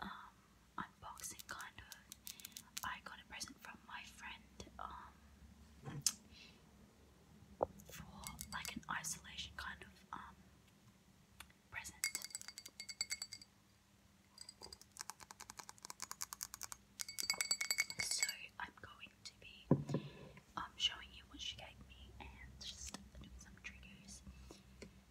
um, unboxing kind of. I got a present from my friend um, for like an isolation kind of um, present. So I'm going to be um, showing you what she gave me and just doing some triggers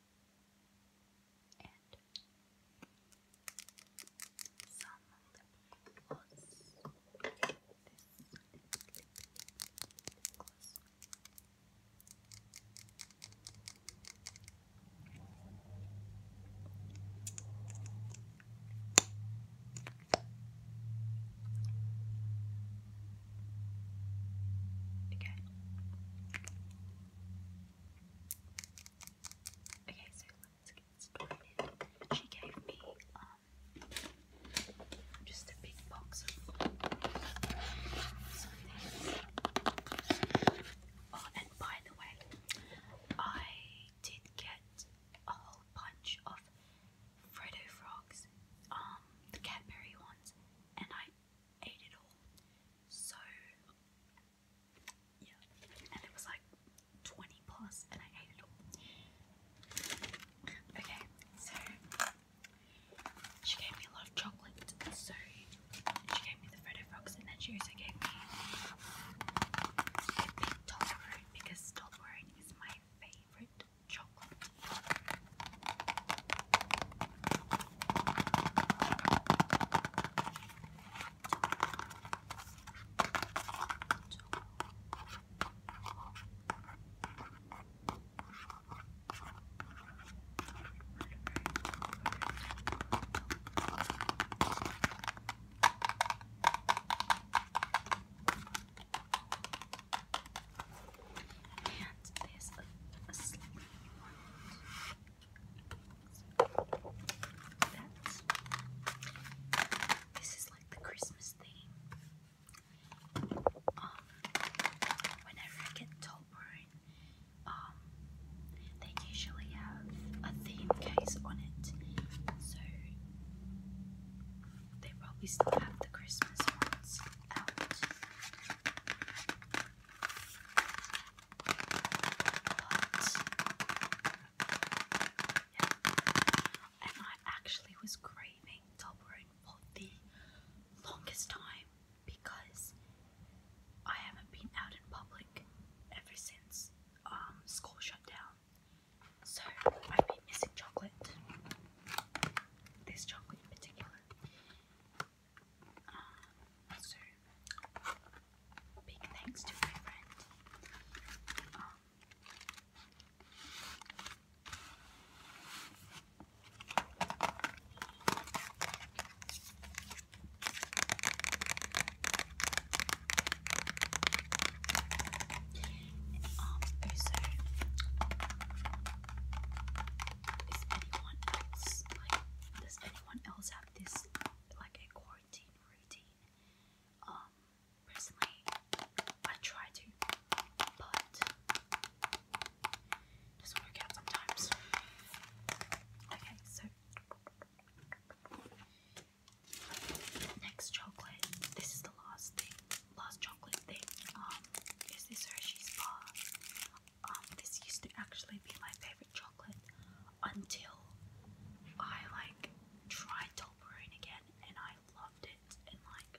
and some lip gloss. This lip gloss. Okay. Okay, so let's get started. She gave me um just a big box of Oh, and by the way, I did get a whole bunch of Freddo frogs, um, the Cadbury ones, and I ate it all. So yeah. And it was like 20 plus and I ate it all. Okay, so she gave me a lot of chocolate. So she gave me the Freddo Frogs and then she also gave me big Toblerone because Toblerone is my favourite chocolate. And there's a, a sleeve. That's, this is like the Christmas theme. Um, whenever I get Tolbert, um, they usually have a theme case on it, so they probably still have the Christmas ones out. And I actually was craving Toblerone for the longest time because I haven't been out in public ever since um, school shut down. So I've been missing chocolate. This chocolate in particular. Um, so, big thanks to my friend. Um, so, is anyone else, does anyone else this like a quarantine routine. Um, personally, I try to, but it work out sometimes. Okay, so next chocolate. This is the last thing, last chocolate thing. Um, is this Hershey's bar? um, this used to actually be my favorite chocolate until I like tried Toblerone again and I loved it and like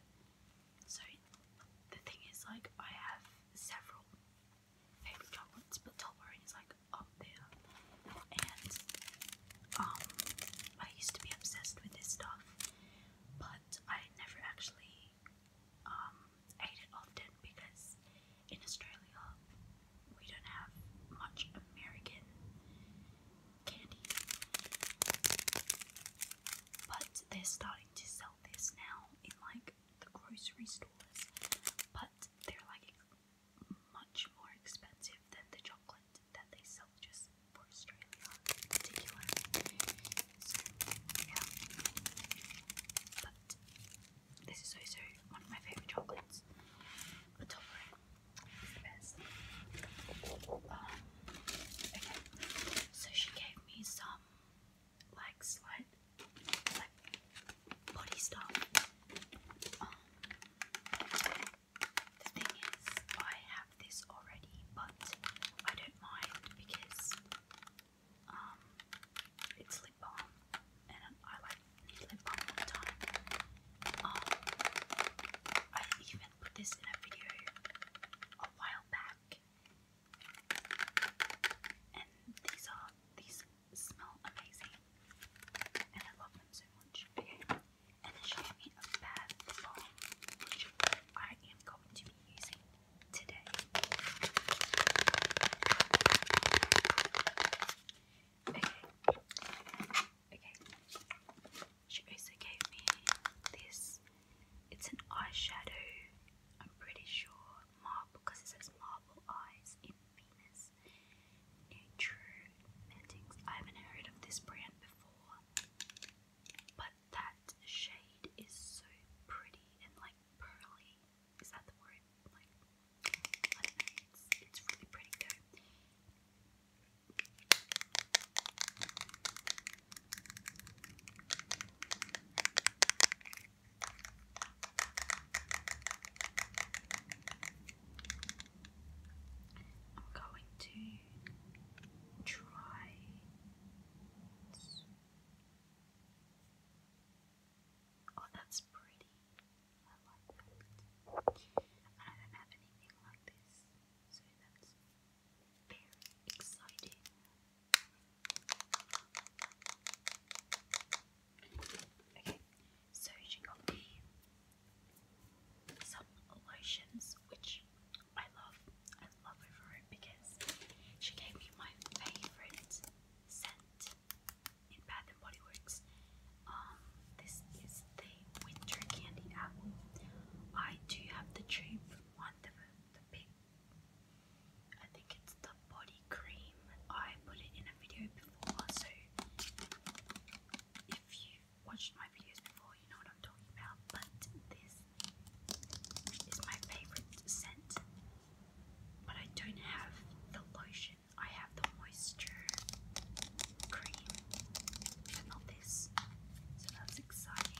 so the thing is like I have several favorite chocolates but Toblerone is like up there and um I used to be obsessed with this stuff but I never actually um, it often because in Australia we don't have much American candy. But they're starting to sell this now in like the grocery stores, but they're like much more expensive than the chocolate that they sell just for Australia in So, yeah. But this is also one of my favourite chocolates. The topper is best. Um, so she gave me some like slight like body stuff. Um, the thing is, I have this already, but I don't mind because um, it's lip balm, and I like need balm all the time. Um, I even put this in a video a while back, and these are these smell amazing, and I love them so much. Okay. And then she gave me a bad balm, which I am going to be using today. Okay. Okay. She also gave me this. It's an eyeshadow. I'm pretty sure marble because it says marble eyes in Venus. Nature Mendings. I haven't heard of this brand before, but that shade is so pretty and like like pearly. Is that the word? Like It's it's really pretty though. I'm going to try Oh, that's pretty. I like that. I don't have anything like this, so that's very exciting. Okay, so she got me some lotions, which I love. I love her it because she gave me my favorite scent in Bath and Body Works. Um, this is the winter candy apple. I do have the tube one, of the big. I think it's the body cream. I put it in a video before, so if you watched my videos before, you know what I'm talking about. But this is my favorite scent. But I don't have the lotion, I have the moisture cream, not this. So that's exciting.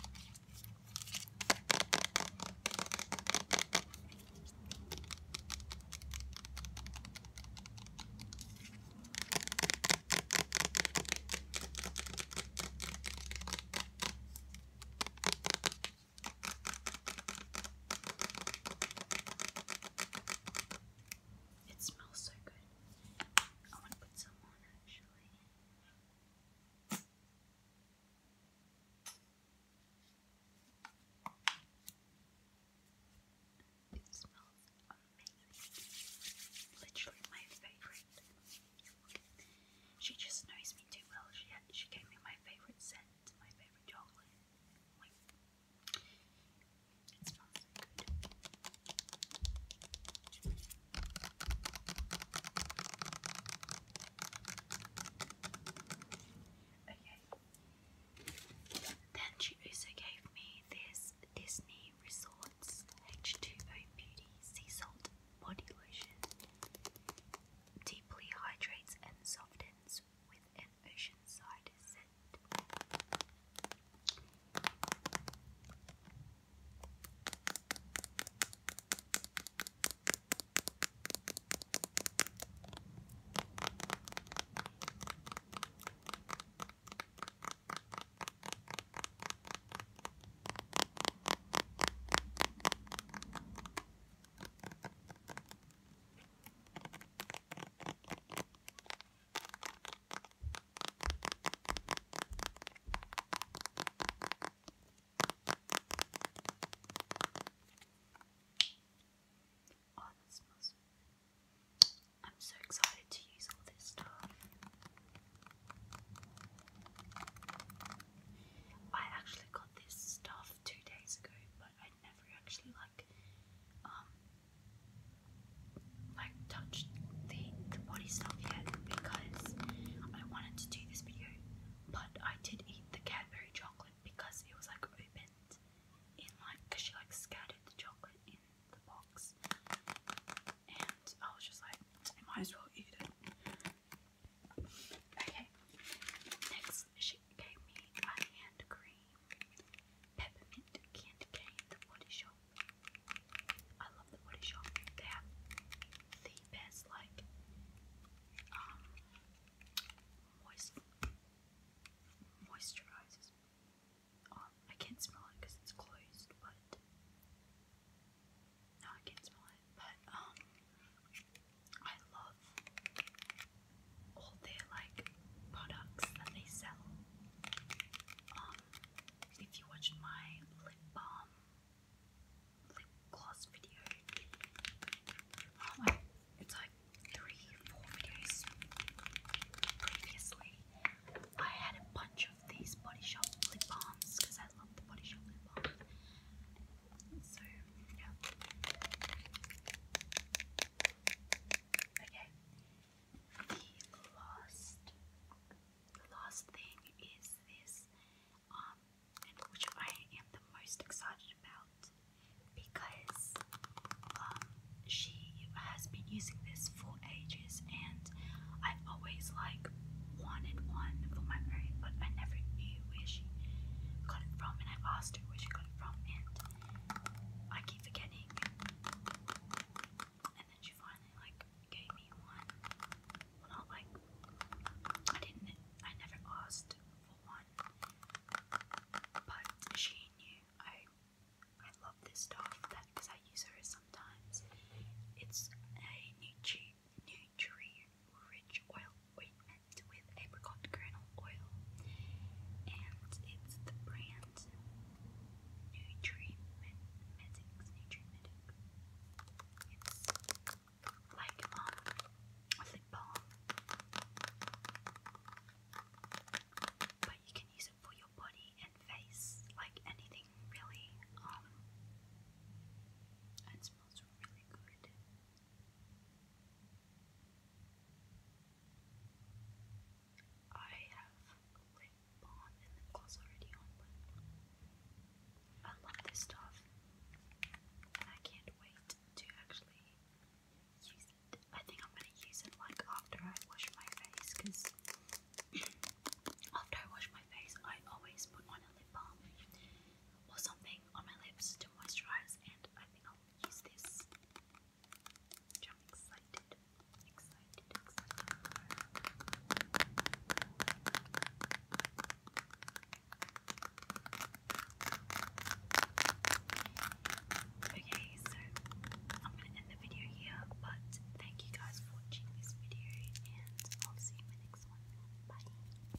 It smells so good. I want to put some actually. It smells amazing. Literally my favorite. She just knows me too well. She she gave me my favorite scent. It's my favorite chocolate. Like, it smells so good. Okay. Then she also gave me this Disney Resorts H2O Beauty Sea Salt Body Lotion deeply hydrates and softens with an side scent. Oh, I'm so excited to use all this stuff. I actually got this stuff two days ago, but I never actually like um like touched the the body stuff yet because I wanted to do this video, but I did eat the Cadbury chocolate because it was like opened in like because she like scattered the chocolate in the box, and I was just like might as well eat it. Okay, next she gave me a hand cream, peppermint candy cane, the body shop. I love the body shop. They have the best, like, um, moist moisturizers. Oh, I can't smell it it's closed, but no, I can smell it but um I love all their like products that they sell. Um if you watched my lip balm lip gloss video um, it's like three, four videos previously. I had a bunch of these Body Shop lip balms because I love the Body Shop lip balm. So, yeah. Okay. The last, the last thing is this, um, and which I am the most excited about because, um, she has been using this for ages, and I've always like wanted one for my own, but I never knew you where she got it from, and I've asked her where she got it from, and I keep forgetting. And then she finally like gave me one. Well, not like I didn't. I never asked for one, but she knew I. I love this stuff that because I use her sometimes. It's a new tube nutrient-rich oil ointment with apricot kernel oil, and it's the brand Nutrimedics. Nutrimedics. It's like um a balm, but you can use it for your body and face, like anything really. Um, it smells really good. I have lip balm and lip gloss already I love this stuff and I can't wait to actually use it. I think I'm gonna use it like after I wash my face because after I wash my face I always put on a lip balm or something on my lips to moisturize, and I think I'll use this. Okay, so I'm gonna end the video here, but thank you guys for watching this video, and I'll see you in the next one. Bye.